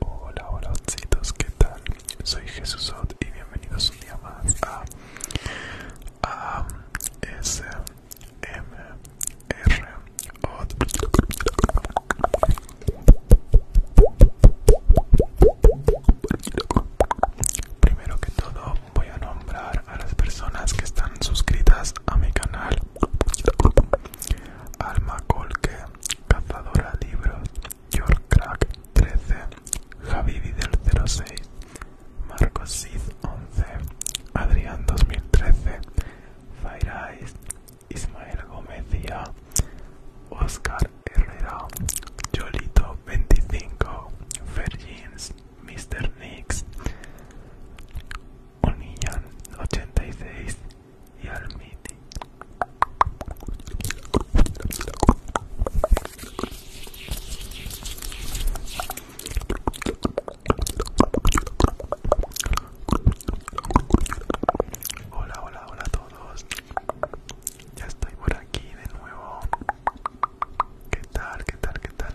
Hola, hola, ositos, ¿qué tal? Soy Jesús Ot y bienvenidos un día más a A S M R Primero que todo voy a nombrar a las personas que están suscritas a mi canal Alma Colque, Cazadora Libros, York Crack 13, Javi Videl 06, Marcos 11, Adrián 2013, Fire Eyes, Ismael Gómez Oscar Herrera, Jolito 25, Fergins, Mr. Nix, o 86 ochenta y seis y al Hola, hola, hola a todos. Ya estoy por aquí de nuevo. ¿Qué tal? ¿Qué tal? ¿Qué tal?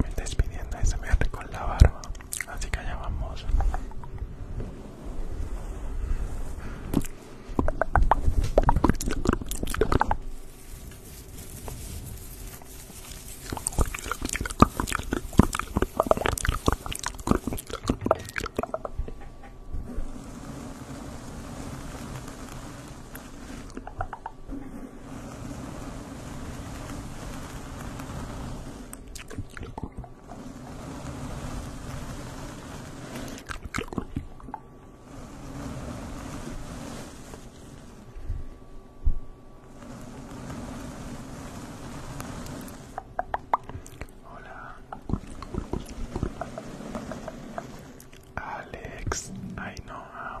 Me está despidiendo, ese me con la barba. Así que allá vamos. Hola. Alex, I know. Uh,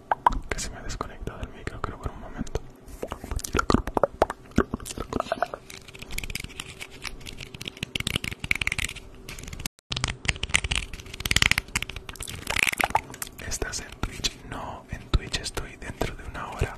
que se me ha desconectado el micro creo por un momento Estás en Twitch, no, en Twitch estoy dentro de una hora.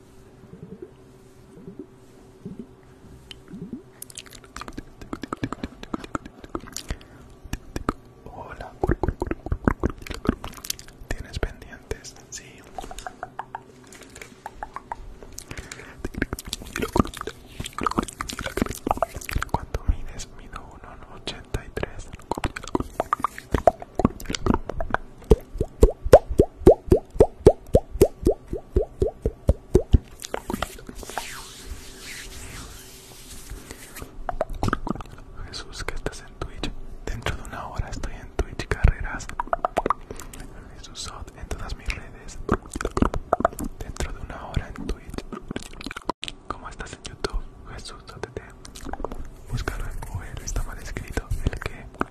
Hola. ¿Tienes pendientes? Sí. ¿Cuánto mides? Mido 1,83. Jesús, ¿qué estás en Twitch. Dentro de una hora estoy en Twitch Carreras. Jesús en todas mis redes. Dentro de una hora en Twitch. ¿Cómo estás en YouTube? Jesús, Sot, Búscalo en Google, está mal escrito. El que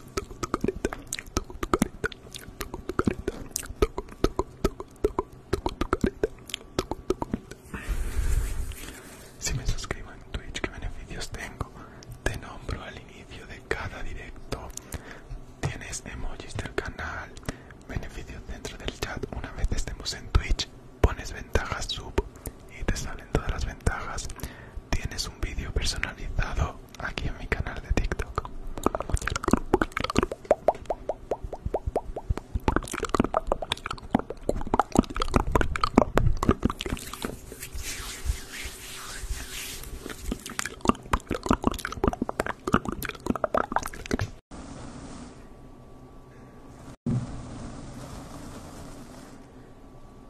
Toco tu toco tu toco tu toco, tu Si me suscribo en Twitch, ¿qué beneficios tengo? Te nombro al inicio de cada directo. Tienes emojis del canal, beneficios dentro del chat. Una vez estemos en Twitch, pones ventajas sub y te salen todas las ventajas. Tienes un vídeo personalizado aquí en mi canal de TikTok.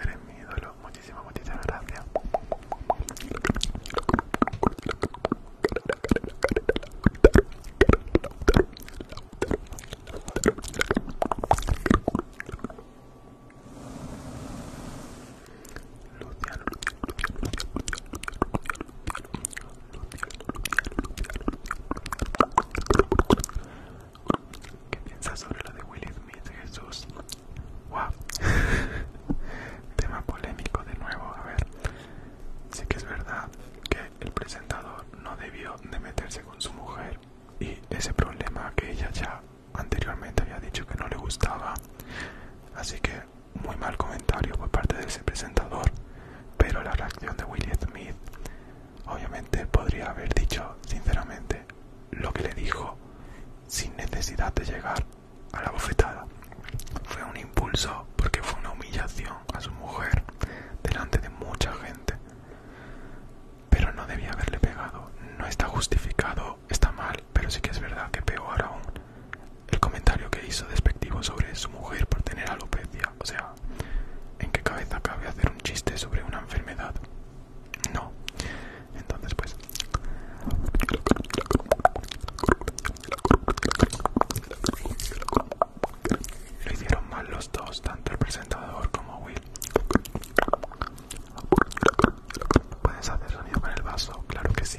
Eres mi ídolo, muchísimas, muchísimas gracias. ¿Qué piensas sobre lo de Will Smith, Jesús? ¡Wow! Tema polémico de nuevo, a ver. Sí que es verdad que el presentador no debió de meterse con su mujer y ese problema que ella ya anteriormente había dicho que no le gustaba así que muy mal comentario por parte de ese presentador pero la reacción de Will Smith obviamente podría haber dicho sinceramente lo que le dijo sin necesidad de llegar a la bofetada fue un impulso porque fue una humillación a su mujer delante de mucha gente pero no debía haberle pegado no está justificado está mal, pero sí que es verdad que peor aún el comentario que hizo despectivo sobre su mujer por tener alopecia. O sea, ¿en qué cabeza cabe hacer un chiste sobre una enfermedad? No. Entonces, pues... Lo hicieron mal los dos, tanto el presentador como Will. Puedes hacer sonido con el vaso, claro que sí.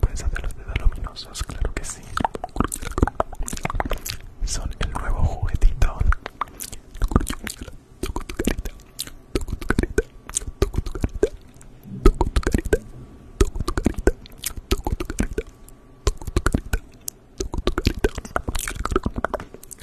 Puedes hacer los dedos luminosos, claro que sí. Son el nuevo juguetito. Toco tu carita, toco tu carita, toco tu carita, toco tu carita, toco tu carita, toco tu carita, toco tu carita, toco tu carita.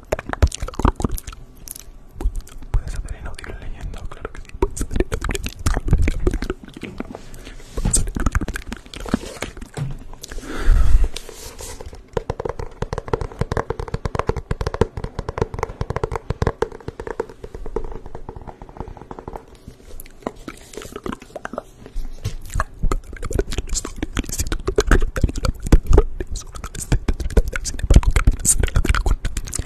Puedes hacer el audio leyendo, claro que sí. Puedes hacer audio leyendo.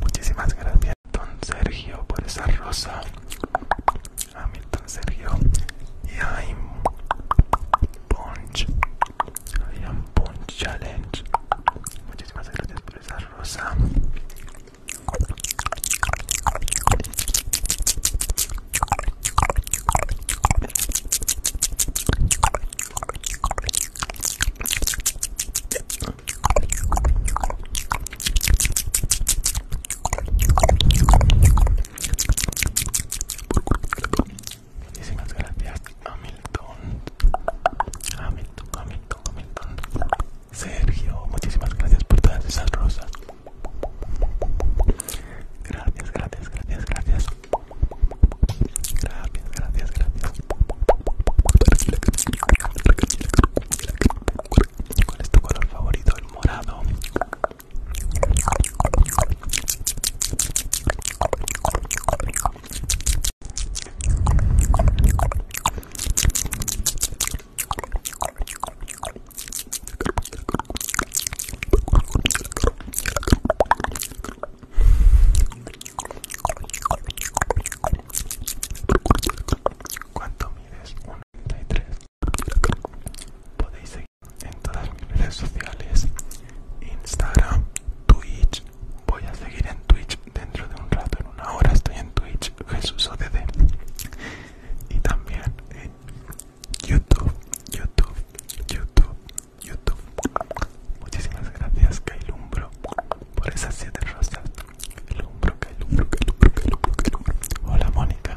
Muchísimas gracias, don Sergio, por esa rosa. A Don Sergio y a Punch, I am Punch Challenge. Muchísimas gracias por esa rosa rosa Muchísimas gracias a mi Hamilton. Hamilton, Hamilton, Hamilton. Sergio, muchísimas gracias por todas esas rosas. Gracias, gracias, gracias, gracias. Gracias, gracias, gracias. ¿Cuál es tu color favorito? El morado. ¿Cuánto mides? tres, Podéis seguir en todas mis redes sociales: Instagram, Twitch, Voy a seguir en Twitch dentro de un rato, en una hora estoy en Twitch, Jesús ODD. Y también en YouTube, YouTube, YouTube, YouTube. Muchísimas gracias, Kailumbro, por esas siete rosas. Kailumbro, Kailumbro, Cailumbro Cailumbro Hola, Mónica.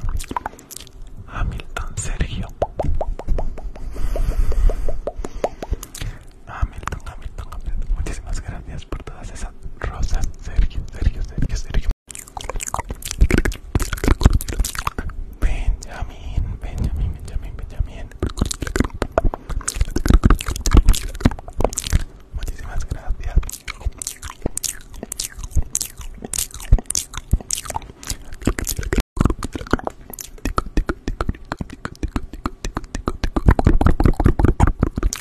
Hamilton Sergio Hamilton, ah, Hamilton, ah, Hamilton. Ah, Muchísimas gracias por todas esas rosas. Sergio, Sergio, Sergio, Sergio. Benjamin, Benjamin, Benjamin, Benjamin. Muchísimas gracias.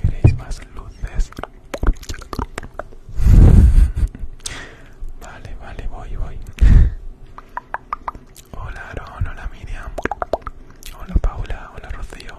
¿Queréis más luces? Vale, vale, voy, voy. Hola Aaron, hola Miriam. Hola Paula, hola Rocío.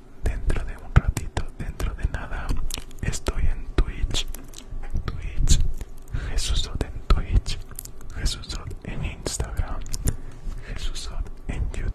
dentro de un ratito, dentro de nada, estoy en Twitch, Twitch, Jesúsot en Twitch, Jesúsot en Instagram, Jesúsot en YouTube.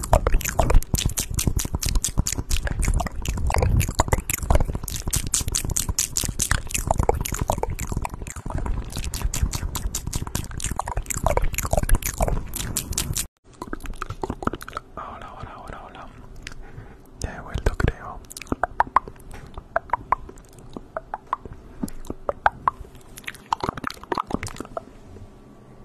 Hola, hola, hola, hola. Ya he vuelto, creo.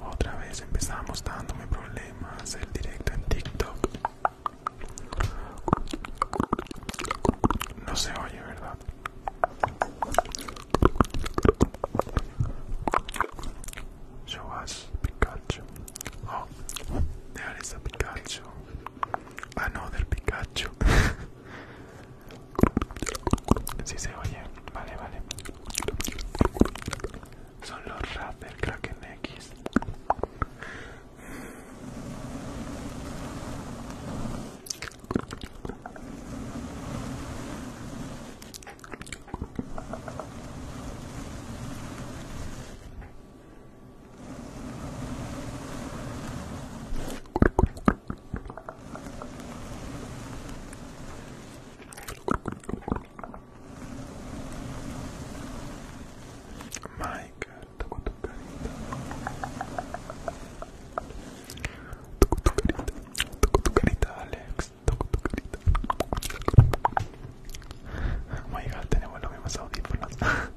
Otra vez empezamos dándome problemas el directo en TikTok. No se oye, ¿verdad? Show us Pikachu. Oh, there is a Ah, no, del Pikachu. Si sí se oye, vale, vale. Son los rap del Kraken X. Michael, toco tu carita. Toco tu carita, toco tu carita, Alex, toco tu carita. tenemos los mismos audífonos.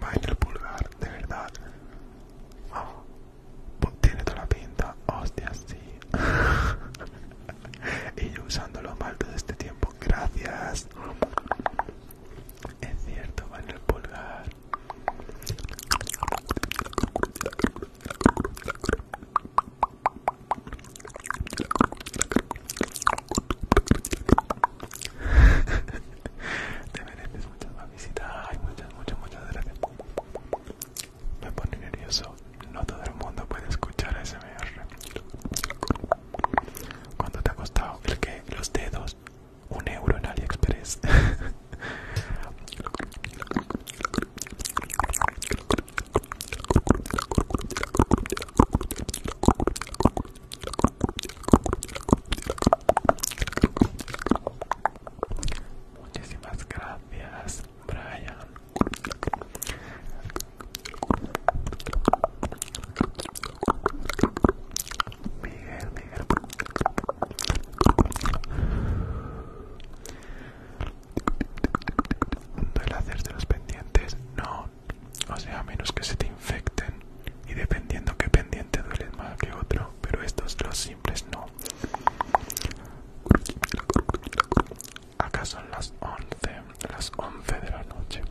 Vai nel pulgar, de verdad. Oh, tiene toda la pinta, hostia, sí. y yo usando lo mal todo este tiempo. Gracias. Es cierto, va el pulgar. Te mereces muchas más visitas. Ay, muchas, muchas, muchas gracias. Me pone nervioso no todo el mundo puede escuchar ASMR. ¿Cuánto te ha costado? El que los dedos, un euro en AliExpress. Muchísimas gracias, Brian. Miguel, Miguel. de los pendientes, no. O sea, a menos que se te infecten. Y dependiendo qué pendiente duele más que otro. Pero estos, los simples, no. Acá son las 11, las 11 de la noche.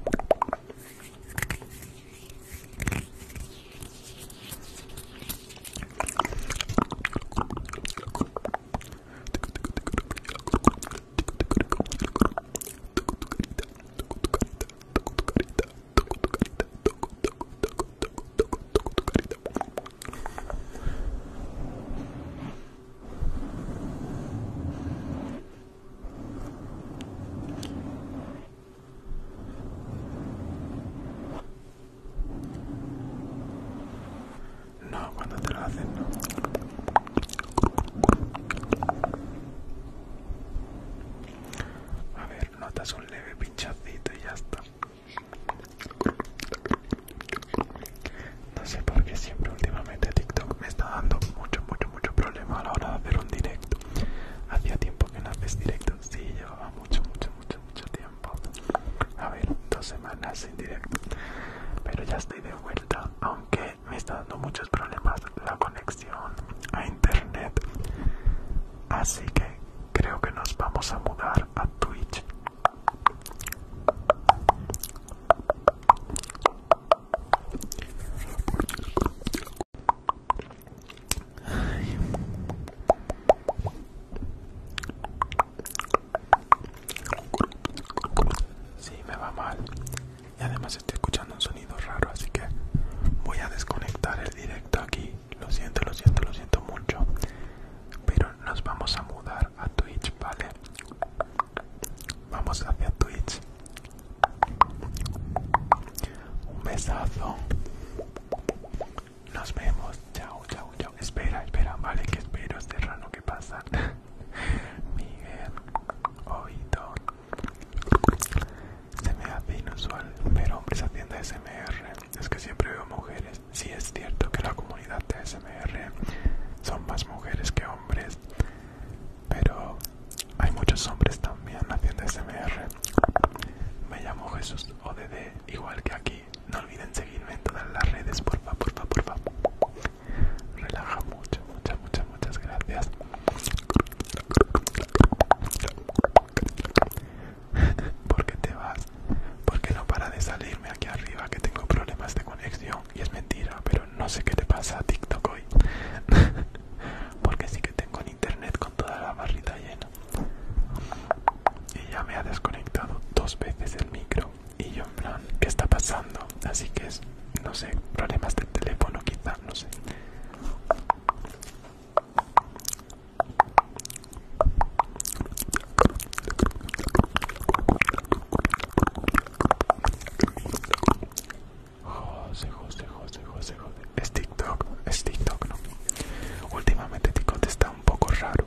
No, cuando te lo hacen, no. A ver, notas un leve pinchacito y ya está. No sé por qué siempre últimamente TikTok me está dando mucho, mucho, mucho problema a la hora de hacer un directo. Hacía tiempo que no haces directo. Sí, llevaba mucho, mucho, mucho, mucho tiempo. A ver, dos semanas sin directo. Pero ya estoy de vuelta, aunque me está dando muchos problemas la conexión a internet. Así que creo que nos vamos a mudar a Twitch. Sí, me va mal. Y además estoy escuchando un sonido raro, así que voy a desconectar el directo aquí. Lo siento, lo siento, lo siento mucho. Pero nos vamos a mudar a Twitch, ¿vale? Vamos hacia Twitch. Un besazo. Nos vemos. Chao, chao, chao. Espera, espera. Vale, que espero este rano que pasa. Miguel. Oído. Se me hace inusual ver hombres haciendo SMR. Es que siempre veo mujeres. Sí es cierto que la comunidad de SMR son más mujeres que hombres pero hay muchos hombres también haciendo SMR. Me llamo Jesús ODD, igual que aquí. No olviden seguirme en todas las redes, porfa, porfa, porfa. Relaja mucho, muchas, muchas, muchas gracias. ¿Por qué te vas? Porque no para de salirme aquí arriba que tengo problemas de conexión y es mentira, pero no sé qué te pasa a TikTok hoy. Porque sí que tengo internet con toda la barrita llena. Y ya me ha desconectado dos veces el micro. Y yo en plan, ¿qué está pasando? Así que es, no sé, problemas de teléfono quizás, no sé. José, José, José, José, José. Es TikTok, es TikTok, ¿no? Últimamente TikTok está un poco raro.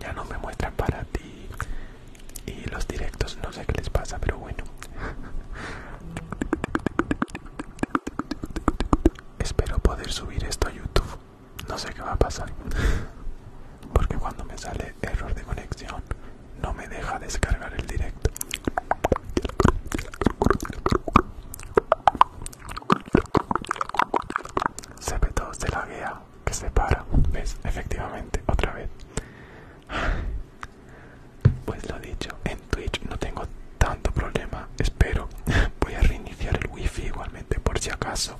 Ya no me muestran para ti. Y los directos no sé qué les pasa, pero bueno. Espero poder subir esto a YouTube. No sé qué va a pasar. Porque cuando me sale error de conexión no me deja descargar el directo. cp de la guía que se para. ¿Ves? Efectivamente, otra vez. Pues lo dicho, en Twitch no tengo tanto problema, espero. Voy a reiniciar el wifi igualmente por si acaso.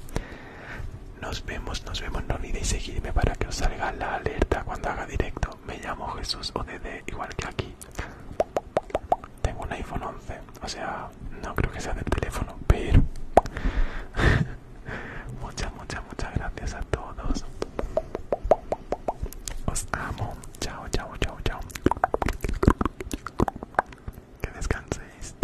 Nos vemos, nos vemos. No olvidéis seguirme para que os salga la alerta cuando haga directo. Me llamo Jesús ODD, igual que aquí. Tengo un iPhone 11, o sea, no creo que sea del teléfono, pero... muchas, muchas, muchas gracias a todos. Os amo. Chao, chao, chao, chao. Que descanséis.